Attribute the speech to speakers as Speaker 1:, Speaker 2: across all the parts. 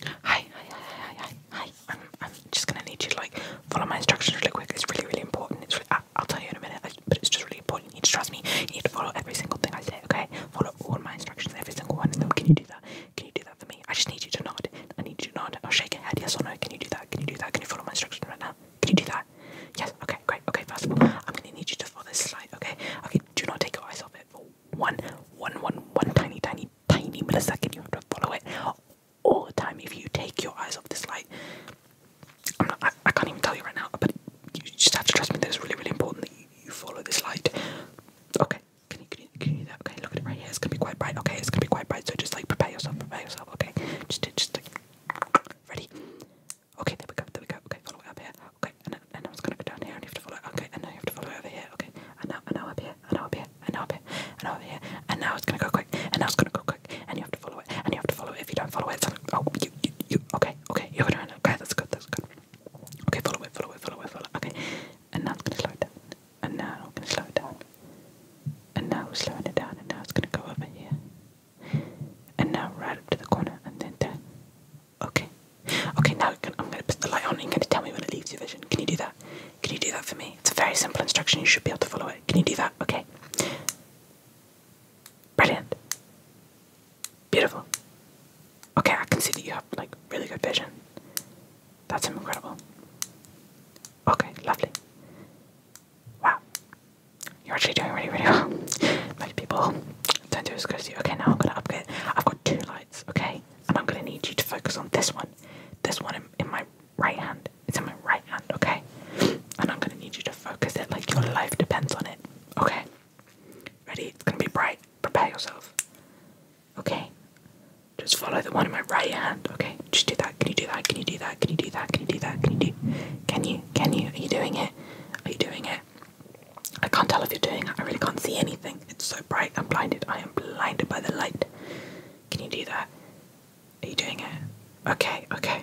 Speaker 1: Hi, hi, hi, hi, hi, hi. I'm, I'm just gonna need you to like follow my instructions really quick. It's really, really important. It's, really, I, will tell you in a minute, but it's just really important. You need to trust me. You need to follow every single thing I say. Okay, follow all my instructions, every single one of them. Can you do that? Can you do that for me? I just need you to nod. I need you to nod. I'll oh, shake your head. Yes or no? Can you do that? Can you do that? Can you follow my instructions right now? Can you do that? Yes. Okay. Great. Okay. First of all, I'm gonna need you to follow this slide. Okay. Okay. Do not take your eyes off it for one, one, one, one tiny, tiny tiny millisecond. You have to follow it all the time. If you take your eyes off this light, I'm not, I, can't even tell you right now, but you just have to trust me that it's really, really important that you, follow this light. Okay, can you, can, you, can you do that? Okay, look at it right here. It's gonna be quite bright. Okay, it's gonna be quite bright. So just like prepare yourself, prepare yourself. Okay, just, just like ready. Okay, there we go. There we go. Okay, follow up here. Okay, and then and I was gonna go down here and you have to follow okay and now you have to follow over here, okay, and now and now up here, and now up here, and now up here, and now over here, and now it's gonna go quick, and now it's gonna go quick, and you have to follow it, and you have to follow it. If you don't follow it, oh you you you okay, okay, you're gonna okay, that's good, that's good. Okay, follow it, follow it, follow it, follow it, okay. And now it's gonna slow down, and now I'm gonna slow it down. And now we're slowing it down and now it's gonna go over here. And now right up to the corner and then there Okay. Okay, now I'm going to put the light on and you're going to tell me when it leaves your vision. Can you do that? Can you do that for me? It's a very simple instruction. You should be able to follow it. Can you do that? Okay. Brilliant. Beautiful. Okay, I can see that you have like really good vision. That's incredible. Okay, lovely. Wow. You're actually doing really, really well. Most people don't do as good as you. Okay, now I'm gonna upgrade. I've got two lights, okay? and I'm gonna need you to focus on this one. This one in, in my right hand. It's in my right hand, okay? And I'm gonna need you to focus it like your life depends on it, okay? Ready? It's gonna be bright. Prepare yourself, okay? Just follow the one in my right hand, okay? Just do that. Can you do that? Can you do that? Can you do that? Can you do that? Can you do? Can you? Can you? Are you doing it? Are you doing it? I can't tell if you're doing it. I really can't see anything. It's so bright. I'm blinded. I am blinded by the light. Can you do that? Are you doing it? Okay, okay.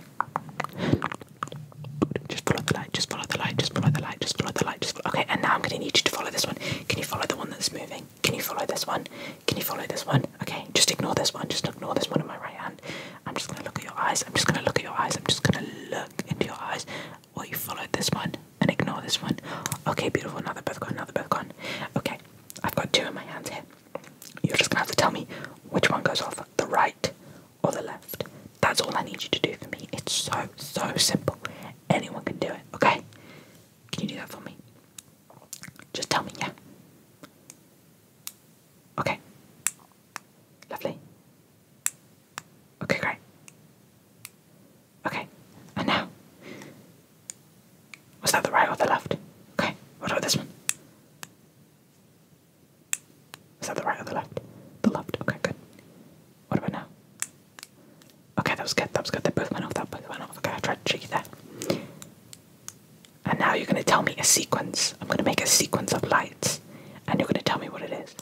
Speaker 1: Just follow the light. Just follow the light. Just follow the light. Just follow the light. Just Okay, and now I'm going to need you to follow this one. Can you follow the one that's moving? Can you follow this one? Can you follow this one? Okay, just ignore this one. Just ignore this one in my right hand. I'm just going to look at your eyes. I'm just going to look at your eyes. I'm just going to look into your eyes. Well, you follow this one and ignore this one. Okay, beautiful. Another they're both gone. Now they gone. Okay, I've got two in my hands here. You're just gonna have to tell me which one goes off the right or the left. That's all I need you to do for me. It's so, so simple. Anyone can do it, okay? Can you do that for me? Just tell me, yeah. Okay. Lovely. Okay, great. Okay, and now. Was that the right or the left? Okay, what about this one? Is that the right or the left? The left, okay, good. What about now? Okay, that was good, that was good. They both went off, that both went off. Okay, I tried to cheat that. And now you're gonna tell me a sequence. I'm gonna make a sequence of lights, and you're gonna tell me what it is.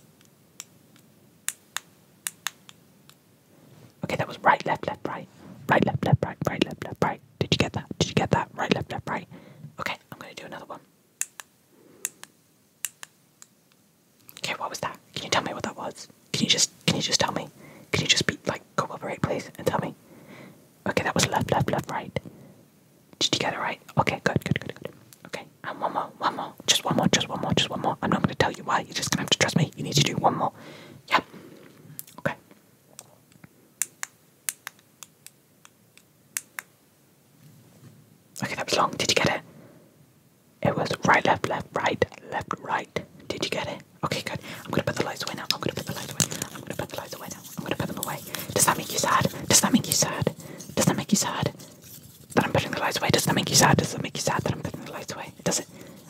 Speaker 1: Okay, that was right, left, left, right. Right, left, left, right, right, left, left, right. Did you get that? Did you get that? Right, left, left, right. Okay, I'm gonna do another one. Okay, what was that? Can you tell me what that was? Can you just can you just tell me? Can you just be like cooperate please and tell me? Okay, that was left, left, left, right. Did you get it right? Okay, good, good, good, good. Okay, and one more, one more, just one more, just one more, just one more. I'm not going to tell you why. You're just going to have to trust me. You need to do one more. Yep. Okay. Okay, that was long. Did you get it? It was right, left, left, right, left, right. Did you get it? Okay, good. I'm gonna put the lights away now. I'm gonna put the lights away. I'm gonna put the lights away now. I'm gonna put them away. Does that make you sad? Does that make you sad? Does that make you sad? that I'm putting the lights away? Does that make you sad? Does that make you sad that I'm putting the lights away? Does it?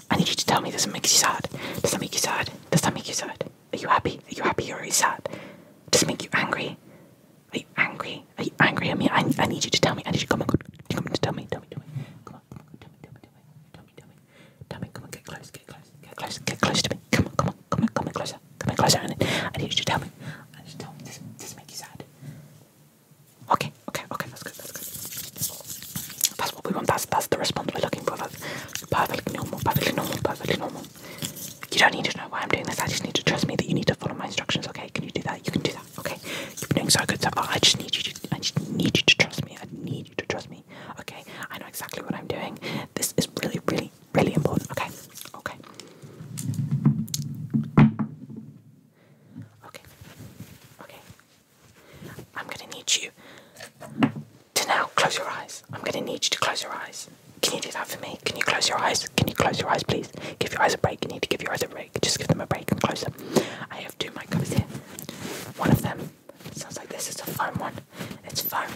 Speaker 1: I need you to tell me. Does it make you sad? Does that make you sad? Does that make you sad? Are you happy? Are you happy or are you sad? Does it make you angry? Are you angry? Are you angry at me? I, I need you to tell me. I need you to come on. Come on, tell me. Tell me. Tell me. Come on. Come on. Tell me. Tell me. Tell me. Tell me. Tell me. Come on. Get close. Get close. Get close. Get close to me. Come on. Come on. Come on. Come on closer. Come on closer. I need you to tell me. I need you to tell me. Does, does it make you sad? Okay, okay, okay, that's good, that's good. That's what we want, that's that's the response we're looking for. perfectly normal, perfectly normal, perfectly normal. You don't need to know why I'm doing this, I just need to trust me that you need to follow my instructions, okay? Can you do that? You can do that, okay? You've been doing so good so far. I just need you to I just need you to trust me. I need you to trust me. Okay, I know exactly what I'm doing. This is really, really, really important. Okay, okay. Okay. Okay. I'm gonna need you to now close your eyes. I'm gonna need you to close your eyes. Can you do that for me? Can you close your eyes? Can you close your eyes, please? Give your eyes a break. You need to give your eyes a break. Just give them a break and close them. I have two microphones here. One of them sounds like this. is a foam one. It's foam.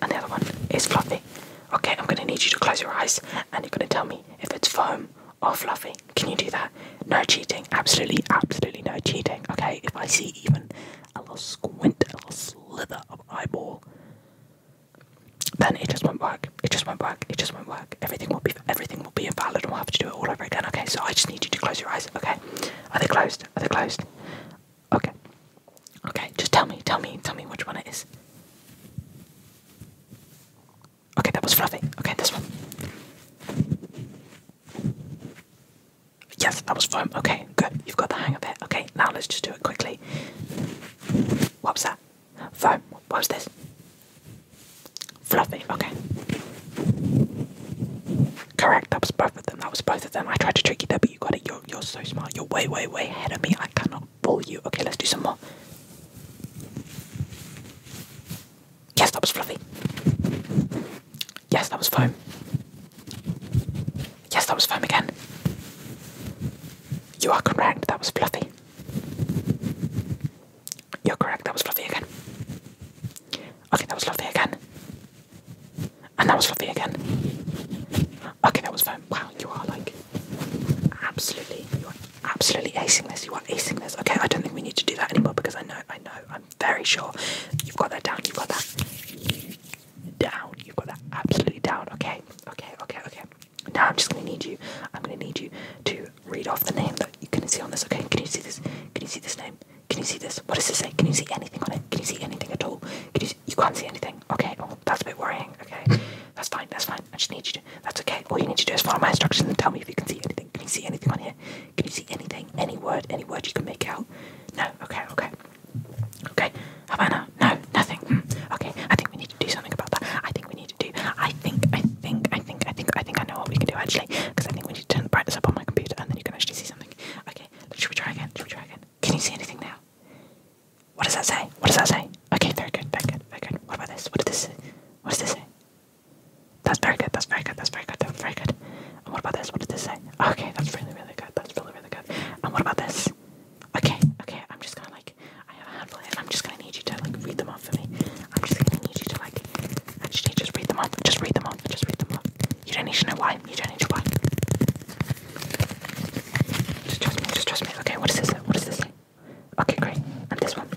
Speaker 1: And the other one is fluffy. Okay, I'm gonna need you to close your eyes and you're gonna tell me if it's foam or fluffy. Can you do that? No cheating. Absolutely, absolutely no cheating. Okay, if I see even a little squint, a little slither of eyeball, then it just won't work. It just won't work. It just won't work. Everything will be everything will be invalid, and we'll have to do it all over again. Okay, so I just need you to close your eyes. Okay, are they closed? Are they closed? Okay, okay. Just tell me, tell me, tell me which one it is. Okay, that was fluffy. Okay, this one. Yes, that was foam. Okay, good. You've got the hang of it. Okay, now let's just do it quickly. What was that? Foam. What was this? Fluffy. Okay. Correct. That was both of them. That was both of them. I tried to trick you there, but you got it. You're, you're so smart. You're way, way, way ahead of me. I cannot roll you. Okay, let's do some more. Yes, that was fluffy. Yes, that was foam. Yes, that was foam again. You are correct, that was fluffy. You're correct, that was fluffy again. Okay, that was fluffy again. And that was fluffy again. Okay, that was fine. Wow, you are like absolutely, you are absolutely acing this. You are acing this. Okay, I don't think we need to do that anymore because I know, I know, I'm very sure you've got that down. You've got that down. You've got that absolutely down. Okay, okay, okay, okay. Now I'm just gonna need you. I'm gonna need you to read off the name that you can see on this. Okay, can you see this? Can you see this name? Can you see this? What does it say? Can you see anything on it? Can you see anything at all? Can you see you can't see anything. Okay, oh, that's a bit worrying. Okay, that's fine, that's fine. I just need you to, that's okay. All you need to do is follow my instructions and tell me if you can see anything. Can you see anything on here? Can you see anything? Any word? Any word you can make out? No? Okay, okay. Okay, Havana? No, nothing. Hmm, okay, I think we need to do something about that. I think we need to do, I think, I think, I think, I think, I think I know what we can do actually, because I think we need to turn the brightness up on my computer and then you can actually see something. Okay, should we try again? Should we try again? Can you see anything now? What does that say? What does that say? Okay, very good, very good, very good. What about this? What does this say? What does this say? That's very good, that's very good, that's very good, that's very good. And what about this? What does this say? Okay, that's really, really good, that's really, really good. And what about this? Okay, okay, I'm just gonna like, I have a handful here, and I'm just gonna need you to like read them off for me. I'm just gonna need you to like, actually just read them off, just read them off, just read them off. You don't need to know why, you don't need to why. Just trust me, just trust me. Okay, what is this? What is this? Okay, great. And this one.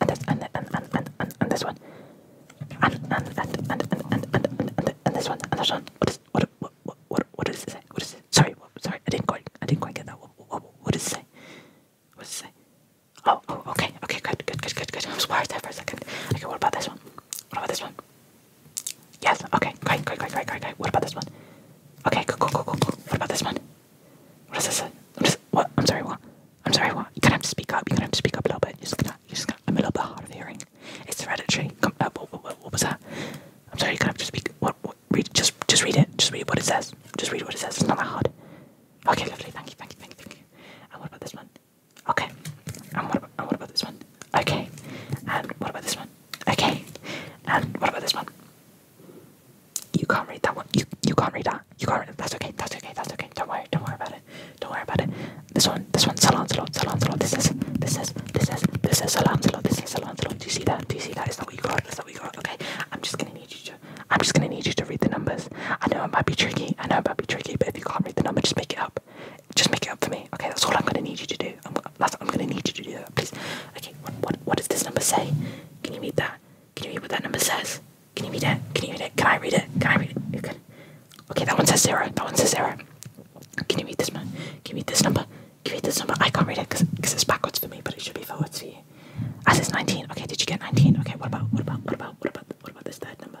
Speaker 1: And this and and and and and, and this one. And and and and and and and and, and, and this one. And this one. What is what what what what, what does it say? What is it? Sorry, what, sorry, I didn't quite I didn't quite get that. What, what, what does it say? What does it say? Oh, oh, okay, okay, good, good, good, good, good. I was worried there for a second. Okay, what about this one? What about this one? Yes, okay, great, great, great, great, great, great. What about this one? Okay, cool, cool, cool, cool, cool. What about this one? What is this? What, is, what? I'm sorry, what? I'm sorry, what? You're gonna have to speak up. You're gonna have to speak up a little bit. You're just gonna, you're just gonna, I'm a little bit hard of hearing. It's hereditary. Come, uh, what, what, what was that? I'm sorry, you're gonna have to speak. What, what? Read, just, just read it. Just read what it says. Just read what it says. It's not that hard. Okay, lovely. Thank you, thank you, thank you, thank you. And what about this one? Okay. And what about, and what about this one? Okay. And what about this one? Okay. And what about this one? You can't read that one. You you can't read that. You can't read it. That's okay. That's okay. That's okay. Don't worry. Don't worry about it. Don't worry about it. This one. This one. Salon. Salon. Salon. Salon. This is. This is. This is. This is Salon. Salon. This is Salon. Salon. Do you see that? Do you see that? Is that what you got? Is that what you got? Okay. I'm just gonna need you to. I'm just gonna need you to read the numbers. I know it might be tricky. I know it might be tricky. But if you can't read the number, just make it up. Just make it up for me. Okay, that's all I'm gonna need you to do. I'm, that's I'm gonna need you to do please. Okay, what, what what does this number say? Can you read that? Can you read what that number says? Can you read it? Can you read it? Can I read it? Can I read it? Okay, that one says zero. That one says zero. Can you read this number? Can you read this number? Can you read this number? I can't read it because it's backwards for me, but it should be forwards for you. I said 19. Okay, did you get 19? Okay, what about what about what about what about what about this third number?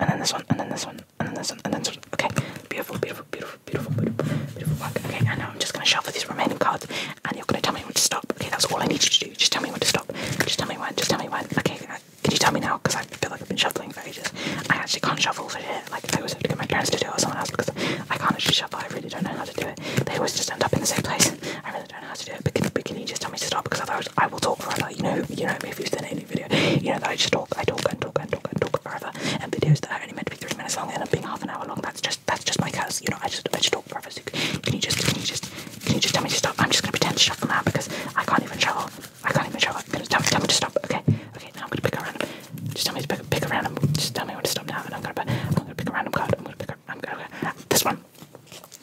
Speaker 1: and then this one, and then this one, and then this one, and then this one. Okay, beautiful, beautiful, beautiful, beautiful, beautiful, beautiful work. Okay, and now I'm just gonna shuffle these remaining cards, and you're gonna tell me when to stop. Okay, that's all I need you to do. Just tell me when to stop. Just tell me when. Just tell me when. Okay, uh, can you tell me now? Because I feel like I've been shuffling for ages. I actually can't shuffle for shit. Like I always have to get my parents to do it or someone else because I can't actually shuffle. I really don't know how to do it. They always just end up in the same place. I really don't know how to do it. But can, you just tell me to stop? Because otherwise I will talk forever. You know, you know me if you've done it new video. You know that I just talk, I talk and talk and talk and talk forever, and videos that are only meant to be three minutes long end up being half an hour long. That's just that's just my curse. You know, I just I just talk forever. So can you just can you just can you just tell me to stop? I'm just gonna pretend to shut them out because I can't even shovel. I can't even shovel. Gonna tell, tell me to stop. Okay, okay. Now I'm gonna pick a random. Just tell me to pick, pick a random. Just tell me when to stop now, and I'm gonna pick, I'm gonna pick a random card. I'm gonna pick a, I'm gonna, this one.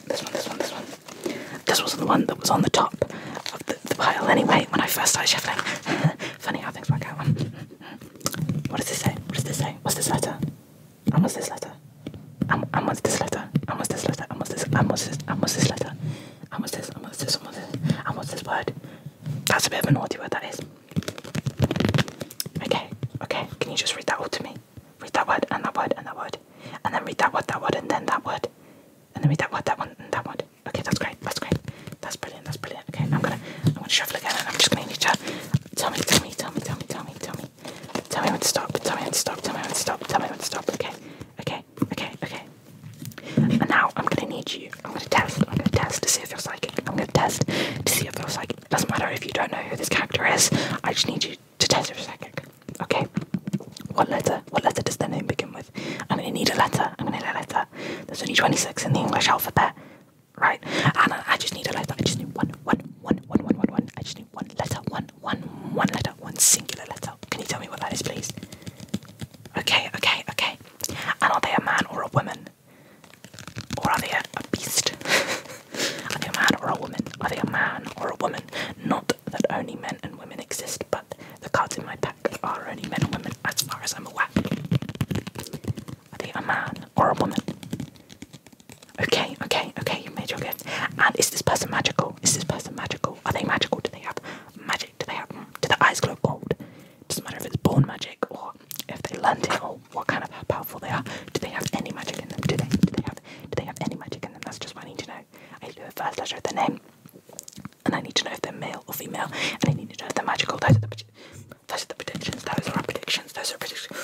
Speaker 1: This one, this one, this one. This wasn't the one that was on the top of the, the pile anyway when I first started shuffling. Funny how things work out. what does this say? What does this say? What's this letter? And what's this letter? And, and what's this letter? And what's this letter? And what's this? And what's this? And what's this letter? And what's this? And what's this? And what's this? And what's this word? That's a bit of a naughty word, that is. Okay, okay. Can you just read that all to me? Read that word and that word and that word. And then read that word, that word, and then that word. And then read that word, that one, and that word. Okay, that's great. That's great. That's brilliant. That's brilliant. Okay, now I'm gonna I'm gonna shuffle again, and I'm just gonna need you to tell me, tell me, tell me, tell me, tell me, tell me, tell me when to stop. Tell me when to stop. Tell me when to stop. Tell me when to stop. Okay, okay, okay, okay. And now I'm gonna need you. I'm gonna test. I'm gonna test to see if you're psychic. I'm gonna test to see if you're psychic. It doesn't matter if you don't know who this character is. I just need you to test if you're psychic. Okay. What letter what letter does their name begin with? I'm going to need a letter. I'm going to need a letter. There's only 26 in the English alphabet, right? And I just need a letter. I just need one, one, one, one, one, one, one. I just need one letter, one, one, one letter, one singular letter. Can you tell me what that is, please? Okay, okay, okay. And are they a man or a woman? Or are they a beast? are they a man or a woman? Are they a man or a woman? Not that only men and women exist, but the cards in my pack are only men and women as far as I'm aware. Are they a man or a woman? Okay, okay, okay, you have made your guess. And is this person magical? Is this person magical? Are they magical? Do they have magic? Do they have hmm, do their eyes glow gold? Doesn't matter if it's born magic or if they learned it or what kind of powerful they are. Do they have any magic in them? Do they do they have do they have any magic in them? That's just what I need to know. I do to first letter of the name and I need to know if they're male or female, and I need to know if they're magical. Those are the predictions. Those are our predictions. Those are predictions.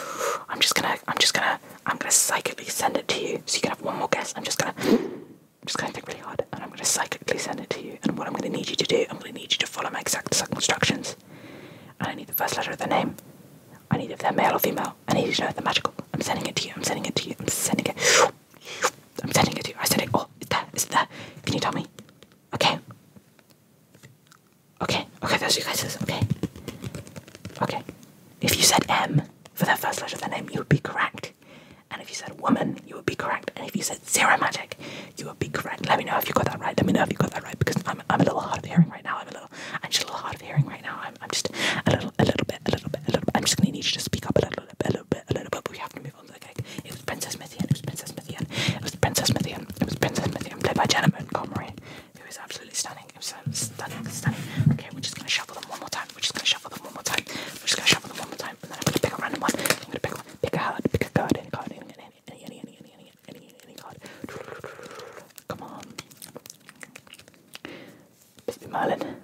Speaker 1: I'm just gonna I'm just gonna I'm gonna psychically send it to you so you can have one more guess. I'm just gonna I'm just gonna think really hard and I'm gonna psychically send it to you. And what I'm gonna need you to do, I'm gonna need you to follow my exact instructions. And I need the first letter of the name. I need if they're male or female. I need to know if they're magical. I'm sending it to you. I'm sending it to you. I'm sending it. I'm sending it to you. I sent it. Oh, it's that. It's that. Can you tell me? Okay. Okay. Okay, those are you guys. Okay. Okay. If you said M for the first letter of the name, you would be correct. And if you said woman, you would be correct. And if you said zero magic, you would be correct. Let me know if you got that right. Let me know if you got that right because I'm, I'm a little hard of hearing right now. I'm a little, I'm just a little hard of hearing right now. I'm, I'm just a little, a little bit, a little bit, a little bit. I'm just going to need you to speak up a little a little bit, a little bit, a little bit, we have to move on to the cake. It was Princess Mithian, it was Princess Mithian, it was Princess Mithian, it was Princess Mithian, played by Jenna Montgomery, who is absolutely stunning. It was stunning, stunning. Okay, we're just gonna shuffle them one more time, we're just gonna shuffle them one more time, we're just gonna shuffle them one more time, and then I'm gonna pick a random one. I'm gonna pick one, pick a card, pick a card, any card, any, any, any, any, any, any, any, Come on. Bisbee Merlin.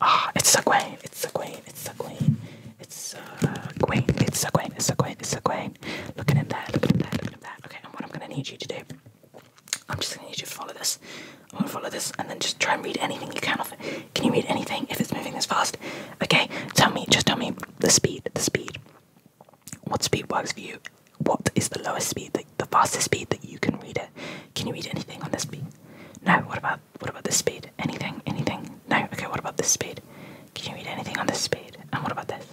Speaker 1: Ah, it's a queen. it's a queen. it's a queen. it's a uh, queen. it's a queen. it's a queen. it's Egwene. Look at him there, look at him there, look at that. Okay, and what I'm gonna need you to do, I'm just gonna need you to follow this. I'm gonna follow this and then just try and read anything you can of it. Can you read anything if it's moving this fast? Okay, tell me, just tell me the speed, the speed. What speed works for you? What is the lowest speed, the, fastest speed that you can read it. Can you read anything on this speed? No. What about what about this speed? Anything? Anything? No. Okay. What about this speed? Can you read anything on this speed? And what about this?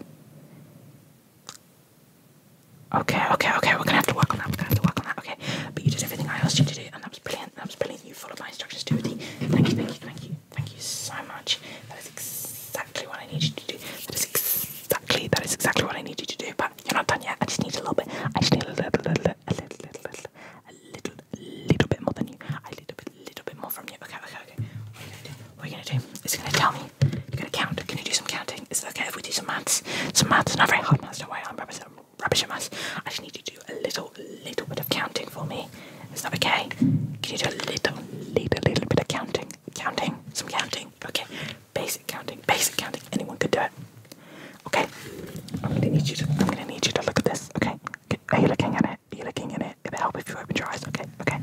Speaker 1: Okay. Okay. Okay. We're gonna have to work on that. We're gonna have to work on that. Okay. But you did everything I asked you to do, and that was brilliant. That was brilliant. You followed my instructions, Dorothy. Thank you. Thank you. Thank you. Thank you so much. That is exactly what I need you to do. That is exactly. That is exactly what I need you to do. But not you're not done yet. I just need a little bit. I just need a little, little, little, a little, little, little, a little, little bit more than you. A little bit, little bit more from you. Okay, okay, okay. What are you gonna do? What are you gonna do? It's gonna tell me. You're gonna count. Can you do some counting? Is it okay if we do some maths? Some maths, not very hard maths. Don't worry, I'm rubbish, I'm rubbish at maths. I just need you to do a little, little bit of counting for me. Is that okay? Can you do a little, little, little bit of counting? Counting, some counting. Okay, Basic counting, basic counting. Anyone could do it. Okay. I'm gonna need you to. I'm gonna need you to look at this. Okay. Are you looking at it? Are you looking at it? Can I help if you open your eyes. Okay. Okay.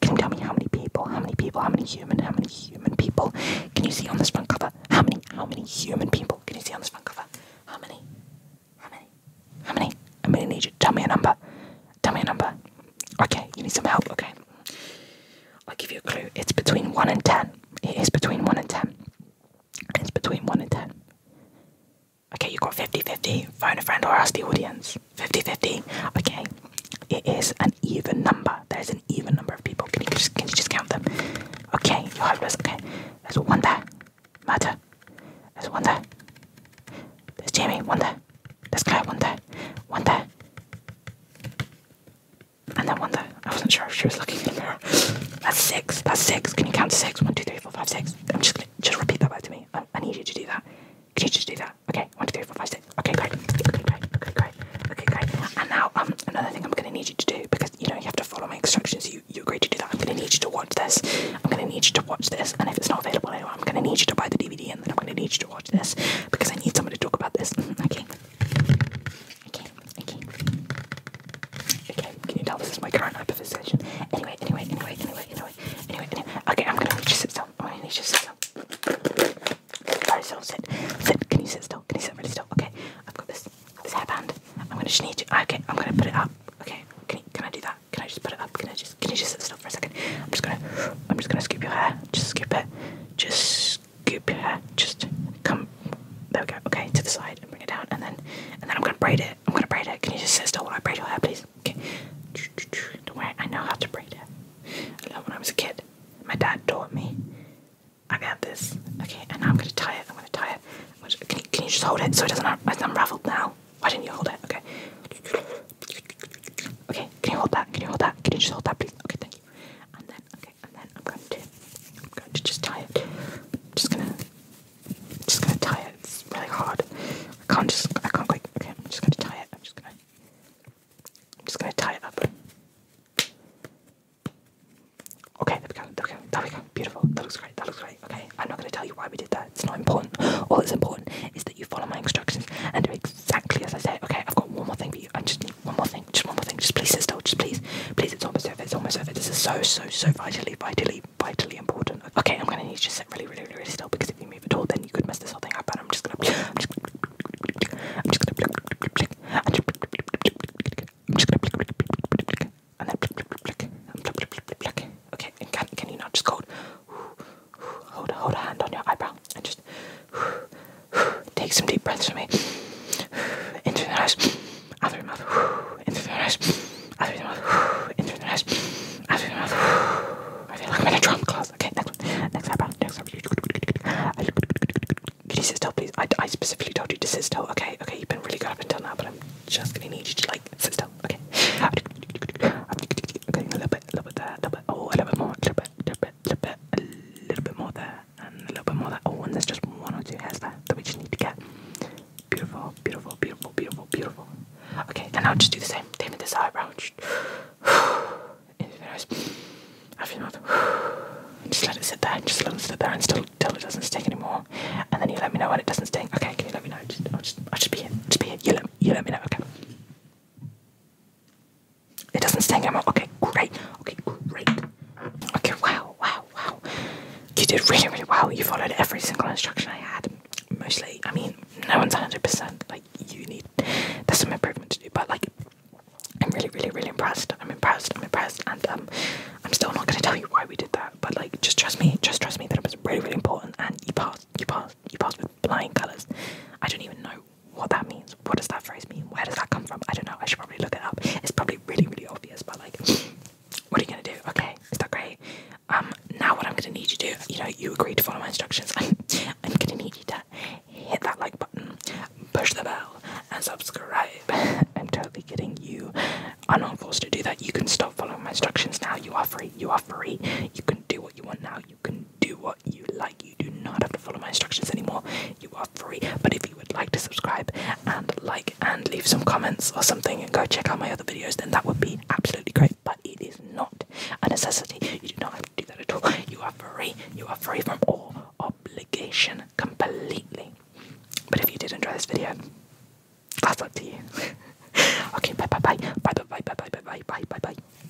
Speaker 1: Can you tell me how many people? How many people? How many human? How many human people? Can you see on this front cover? How many? How many human people? Can you see on this front cover? How many? How many? How many? I'm gonna need you. Tell me a number. Tell me a number. Okay. You need some help. Okay. I'll give you a clue. It's between 1 and 10. It is between 1 and 10. It's between 1 and 10. Okay, you've got 50 50. Phone a friend or ask the audience. 50 50. Okay, it is an even number. There's an even number of people. Can you just, can you just count them? Okay, you're hopeless. Okay, there's one there. Matter. There's one there. There's Jamie. One there. There's Claire. One there. One there. And that one though, I wasn't sure if she was looking in the mirror. That's six. That's six. Can you count to six? One, two, three, four, five, six. I'm just gonna just repeat that back to me. I, I need you to do that. Can you just do that? Okay, one, two, three, four, five, six. Okay, great. Okay, great. Okay, great. Okay, great. And now um another thing I'm gonna need you to do because you know you have to follow my instructions. You you agree to do that. I'm gonna need you to watch this. I'm gonna need you to watch this. And if it's not available anywhere, I'm gonna need you to buy the DVD and then I'm gonna need you to watch this because I need someone to talk about this. okay. Okay, okay. Okay, can you tell this is my current hyperfixation? Anyway, anyway, anyway, anyway, anyway, anyway, anyway. Okay, I'm gonna need you sit down. I'm gonna need you sit down. Alright, so sit. Sit. Can you sit still? Can you sit really still? Okay, I've got this this hairband. I'm gonna just need you. Okay, I'm gonna put it up. Okay, can you, can I do that? Can I just put it up? Can I just can you just sit still for a second? I'm just gonna I'm just gonna scoop your hair. Just scoop it. Just scoop just come there we go okay to the side and bring it down and then and then i'm gonna braid it i'm gonna braid it can you just sit still while i braid your hair please okay don't worry i know how to braid it i learned when i was a kid my dad taught me i got this okay and now i'm gonna tie it i'm gonna tie it can, you, can you just hold it so it doesn't unravel now why didn't you hold it okay okay can you hold that can you hold that can you just hold that please okay thank you and then okay and then I'm going to going to just tie it. I'm just gonna just gonna tie it. It's really hard. I can't just I can't okay, I'm just gonna tie it. I'm just gonna I'm just gonna tie it up. Okay, there we go, there we go, there we go. Beautiful. That looks great, that looks great. Okay, I'm not gonna tell you why we did that. It's not important. All that's important is that you follow my instructions and do exactly exactly as I said. Okay, I've got one more thing for you. I just need one more thing. Just one more thing. Just please sit still. Just please. Please, it's almost over. It's almost over. This is so, so, so vitally, vitally, vitally important. Okay, I'm gonna need you to sit really, really, really, really still because if you move at all, then you could mess this whole thing up. And I'm just gonna. I'm just gonna. I'm just gonna. I'm just gonna. And then. Okay, and can, can you not just go? Hold, hold a hand on your eyebrow and just take some deep breaths for me. In through the nose, out through the mouth. In through the nose, out through the mouth. In through the nose, out through the mouth. I feel like I'm in a drum class. Okay, next one. Next eyebrow. Next eyebrow. Could you sit still, please? I, I specifically told you to sit still. Okay, okay, you've been really good up until now, but I'm just gonna need you to like sit still. Okay. Okay, a little bit, a little bit there, a little bit. Oh, a little bit more, a little bit, a little bit bit, bit, a little bit more there, and a little bit more there. Oh, and there's just one or two hairs there that we just need to get. Beautiful, beautiful, beautiful, beautiful, beautiful. Okay, and I'll just do the same. Same with this eyebrow. Just, into the nose. Out your mouth. Just let it sit there. Just let it sit there and still till it doesn't stick anymore. And then you let me know when it doesn't stick. Okay, can you let me know? Just, I'll just, I'll just be here. Just be here. You let, you let me know. Okay. It doesn't sting anymore. Okay, great. Okay, great. Okay, wow, wow, wow. You did really, really well. You followed every single instruction I had. Mostly, I mean, no one's 100%. Like, you need, there's some improvement to do, but like, I'm really, really, really impressed. I'm impressed. I'm impressed. And um, I'm still not going to tell you why we did that, but like, just trust me. Just trust me that it was really, really important. And you passed. You passed. You passed with flying colours. I don't even know what that means. What does that phrase mean? Where does that come from? I don't know. I should probably look it up. It's probably really, really obvious, but like, what are you gonna do? Okay, is that great? Um, now what I'm gonna need you to do, you know, you agreed to follow my instructions. I'm, i gonna need you to hit that like button, push the bell, and subscribe. I'm totally kidding. You I'm not forced to do that. You can stop following my instructions now. You are free. You are free. You can do what you want now. You can do what you like. You do not have to follow my instructions anymore. You are free. But if you would like to subscribe and like and leave some comments or something and go check out my other videos, then that would be absolutely great. But it is not a necessity. You do not have to do that at all. You are free. You are free from all obligation completely. But if you did enjoy this video, that's up to you. okay, bye bye bye. Bye bye bye bye bye bye bye bye bye.